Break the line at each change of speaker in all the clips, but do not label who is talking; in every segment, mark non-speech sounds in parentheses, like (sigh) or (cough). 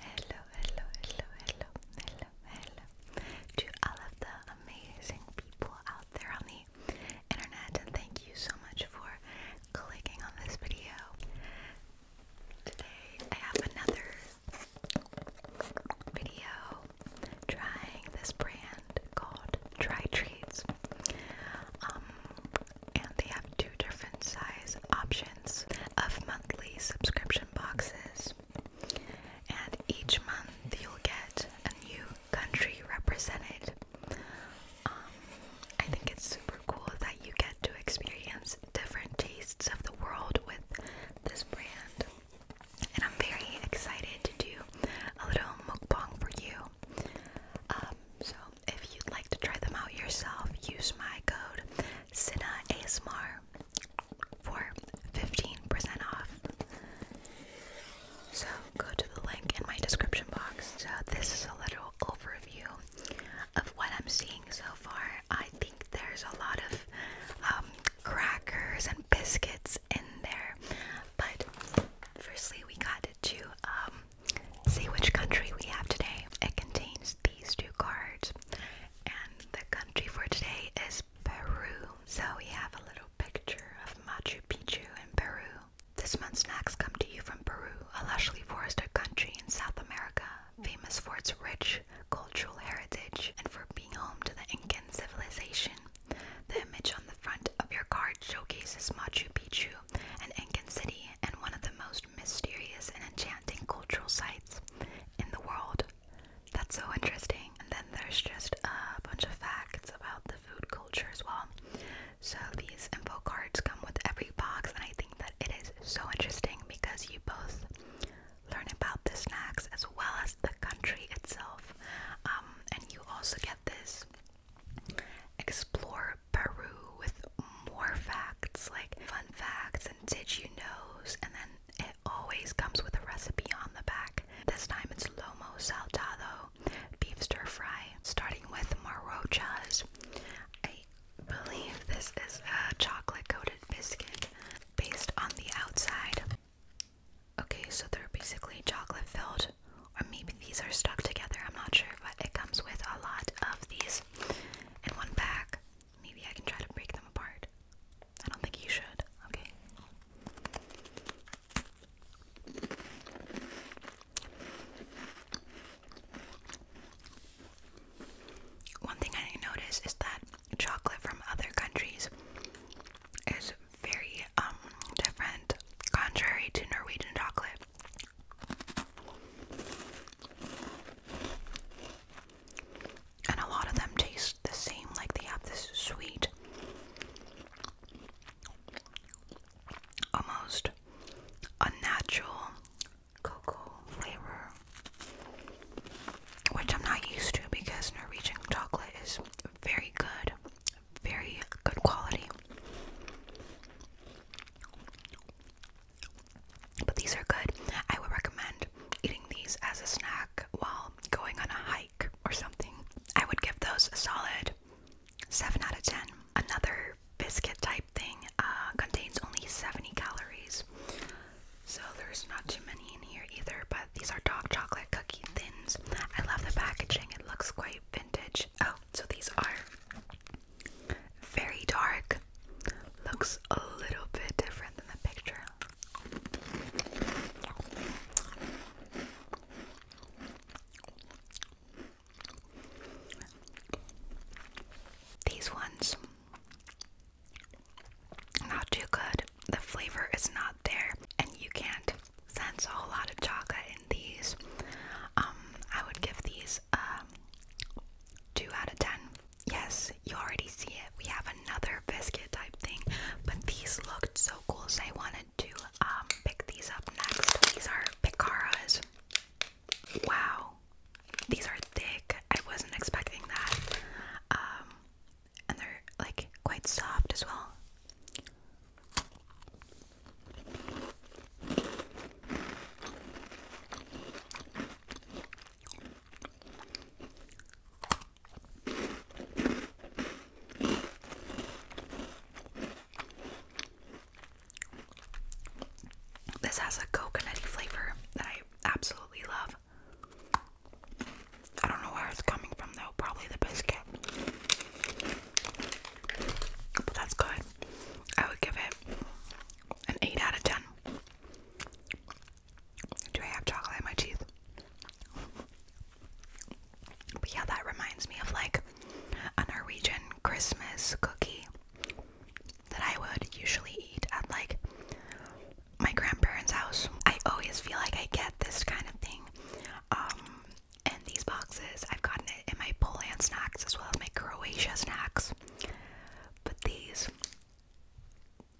Hello, hello, hello, hello, hello, hello to all of the amazing people out there on the internet, thank you so much for clicking on this video. Today I have another video trying this brand called Dry Treats. Um, and they have two different size options of monthly subscription boxes. And each month you'll get a new country represented. Um, I think it's super cool that you get to experience different tastes of the world with this brand. And I'm very excited to do a little mukbang for you. Um, so if you'd like to try them out yourself, use my code SinaASMR for 15% off. So go to the link in my description box. So this is a little overview of what I'm seeing so far. I think there's a lot of um, crackers and biscuits in there, but firstly we got to um, see which country we have today. It contains these two cards, and the country for today is Peru. So we have a little picture of Machu Picchu in Peru. This month's snacks come to you from Peru, a lushly forested country in South America, famous for its rich cultural heritage and for being home to the Incan civilization. The image on the front of your card showcases Machu Picchu, an Incan city and one of the most mysterious and enchanting cultural sites in the world. That's so interesting. And then there's just a bunch of facts about the food culture as well. So these info cards come with every box, and I think that it is so interesting because you both learn about the snacks as well as the country itself. Um, and you also get this explore Peru with more facts, like fun facts and did you knows, and then it always comes with a recipe on the back. This time it's lomo saltado, beef stir fry, starting with marochas. I believe this is a chocolate coated biscuit based on the outside. Okay, so they're basically chocolate filled, or maybe these are stuck together, I'm not sure, but it comes with a lot of these in one bag. Maybe I can try to break them apart. I don't think you should, okay? One thing I noticed is that chocolate from other countries is very um, different, contrary to Norwegian chocolate. And a lot of them taste the same, like they have this sweet, almost unnatural cocoa flavor, which I'm not used to because Norwegian chocolate is very good, very good quality. But these are good. I would recommend eating these as a snack while going on a hike or something. I would give those a solid 7 out of 10. Another biscuit type thing uh, contains only 70 calories. So there's not too many in here either, but these are dark chocolate cookie thins. I love the packaging, it looks quite vintage. Oh, so these are very dark. Looks a little bit different than the picture. These ones not too good. The flavor is not there, and you can't sense a whole lot of chocolate in these. Um, I would give these um, 2 out of 10. Yes, you already see it. We have another biscuit type thing, but these looked so cool, so I wanted to um, pick these up next. These are Picaras. Wow, these are thick. I wasn't expecting that. Um, and they're like quite soft as well. This has a coconutty flavor that I absolutely love. I don't know where it's coming from though, probably the biscuit. But that's good. I would give it an 8 out of 10. Do I have chocolate in my teeth? But yeah, that reminds me of like a Norwegian Christmas cookie that I would usually eat at like my grandparents' house. I always feel like I get this kind of thing um, and these boxes, I've gotten it in my Poland snacks as well as my Croatia snacks. But these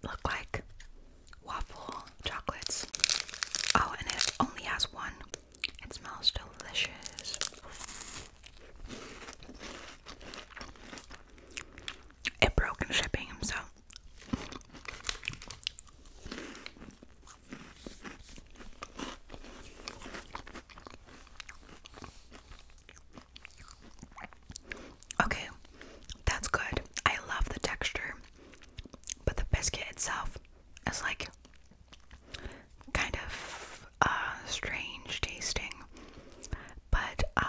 look like waffle chocolates. Oh, and it only has one. It smells delicious. It broke in shipping, so Okay, that's good. I love the texture, but the biscuit itself is like kind of uh, strange tasting. But um,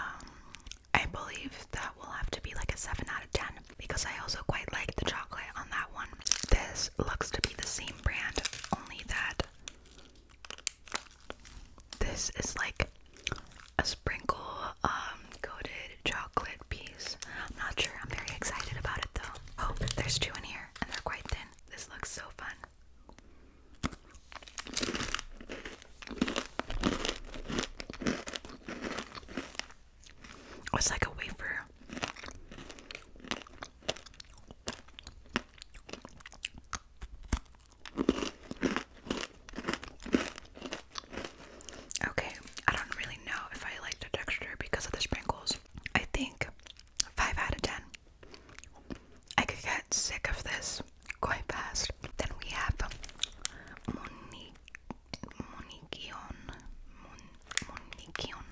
I believe that will have to be like a 7 out of 10 because I also quite like the chocolate on that one. This looks to be the same brand, only that this is like a sprinkle um, coated chocolate piece. I'm not sure. I'm very excited about it though. Oh, there's two in here and they're quite thin. This looks so fun. It's like a wafer. Okay, I don't really know if I like the texture because of the sprinkles. I think 5 out of 10. I could get sick of this quite fast. Then we have Monikion. Monikion. Monikion.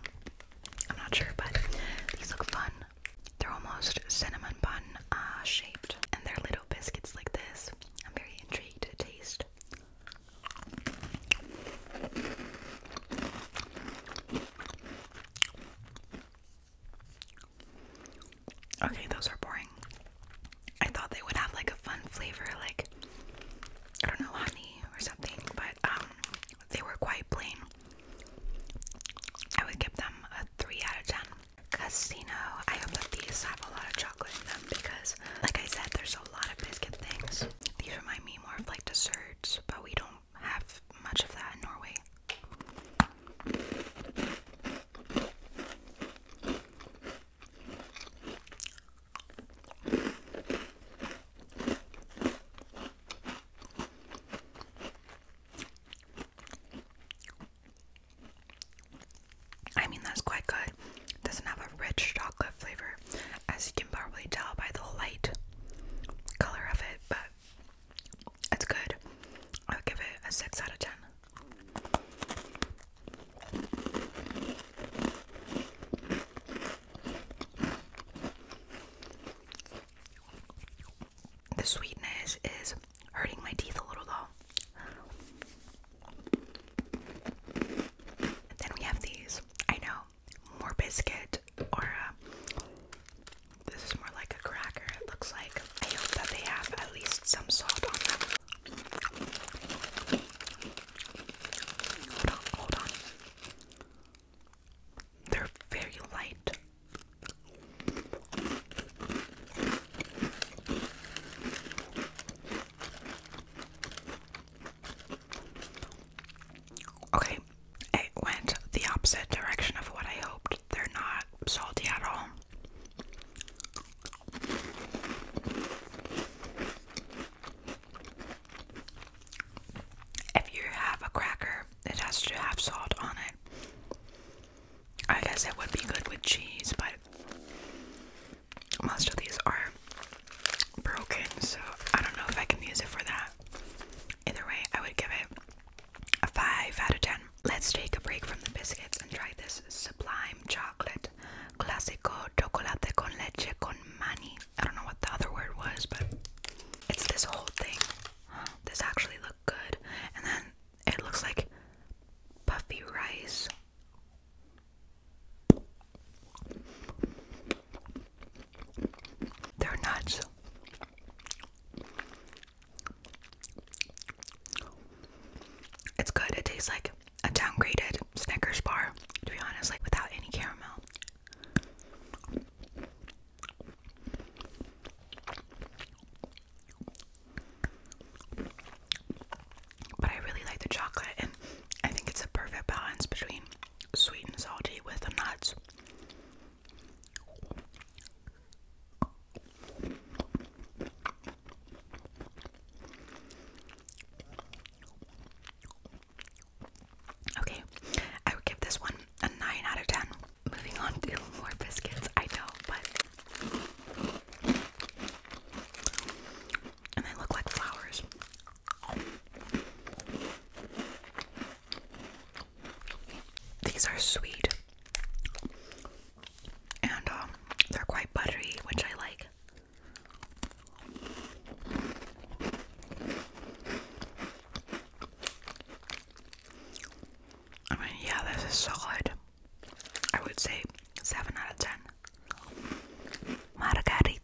I'm not sure, but these look fun. They're almost cinnamon bun uh, shaped, and they're little biscuits like this. I'm very intrigued to taste. Okay, those are boring. I thought they would have like a fun flavor, like I don't know, honey or something, but um, they were quite plain. I would give them a 3 out of 10. Casino. I hope that these have a lot of chocolate in them because, like I said, there's a lot of biscuit things. These remind me more of like desserts, but we don't have much of that in Norway. I mean, that's quite good. doesn't have a rich chocolate flavor, as you can probably tell by the light color of it, but it's good. I'll give it a 6 out of 10. The sweetness is hurting my teeth a little though. Then we have these. I know, more biscuit or this is more like a cracker. It looks like. I hope that they have at least some salt on them. hold on. They're very light. Okay, it went the opposite direction of what I hoped. They're not salty at all. If you have a cracker, it has to have salt on it. I guess it would be good with cheese, but most of these are broken, so I don't know if I can use it for that. Either way, I would give it a 5 out of 10. Let's take a break from the biscuits and try this sublime chocolate. Clásico chocolate con leche con mani. I don't know what the other word was, but it's this whole thing. This actually looked good. And then it looks like puffy rice. They're nuts. It's good. It tastes like a downgraded Snickers bar, to be honest, like without any caramel. But I really like the chocolate, and I think it's a perfect balance between sweet and salty with the nuts. Okay, I would give this one a 9 out of 10. Moving on to (laughs) more biscuits, I know, but. And they look like flowers. These are sweet. And um, they're quite buttery, which I like yeah, this is solid. I would say 7 out of 10. Margarita,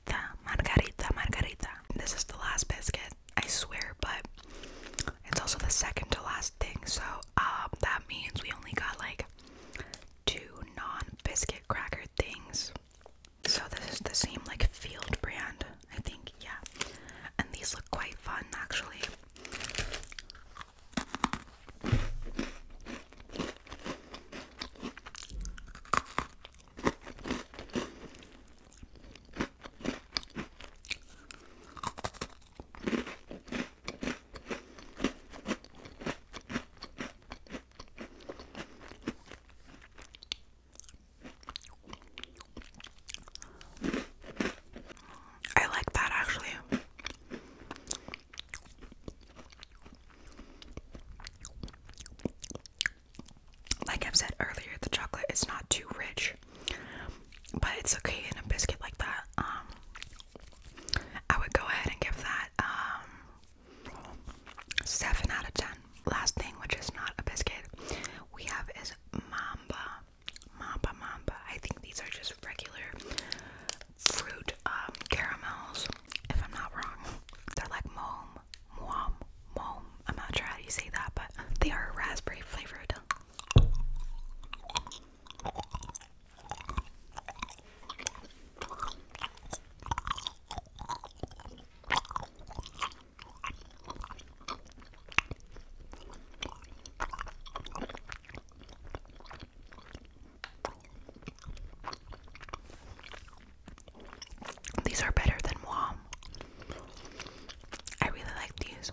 margarita, margarita. This is the last biscuit, I swear, but it's also the second to last thing, so um, that means we only got like two non biscuit cracker things. So this is the same like Field brand, I think, yeah. And these look quite fun actually. I like that actually. Like I've said earlier, the chocolate is not too rich, but it's okay in a biscuit like that. Um, I would go ahead and give that um, Seven out of ten. Last thing, which is not a biscuit, we have is mamba. Mamba mamba. I think these are just regular fruit um, caramels, if I'm not wrong. They're like mom, mom, mom. I'm not sure how you say that, but they are raspberry flavored. These are better than Wom. I really like these.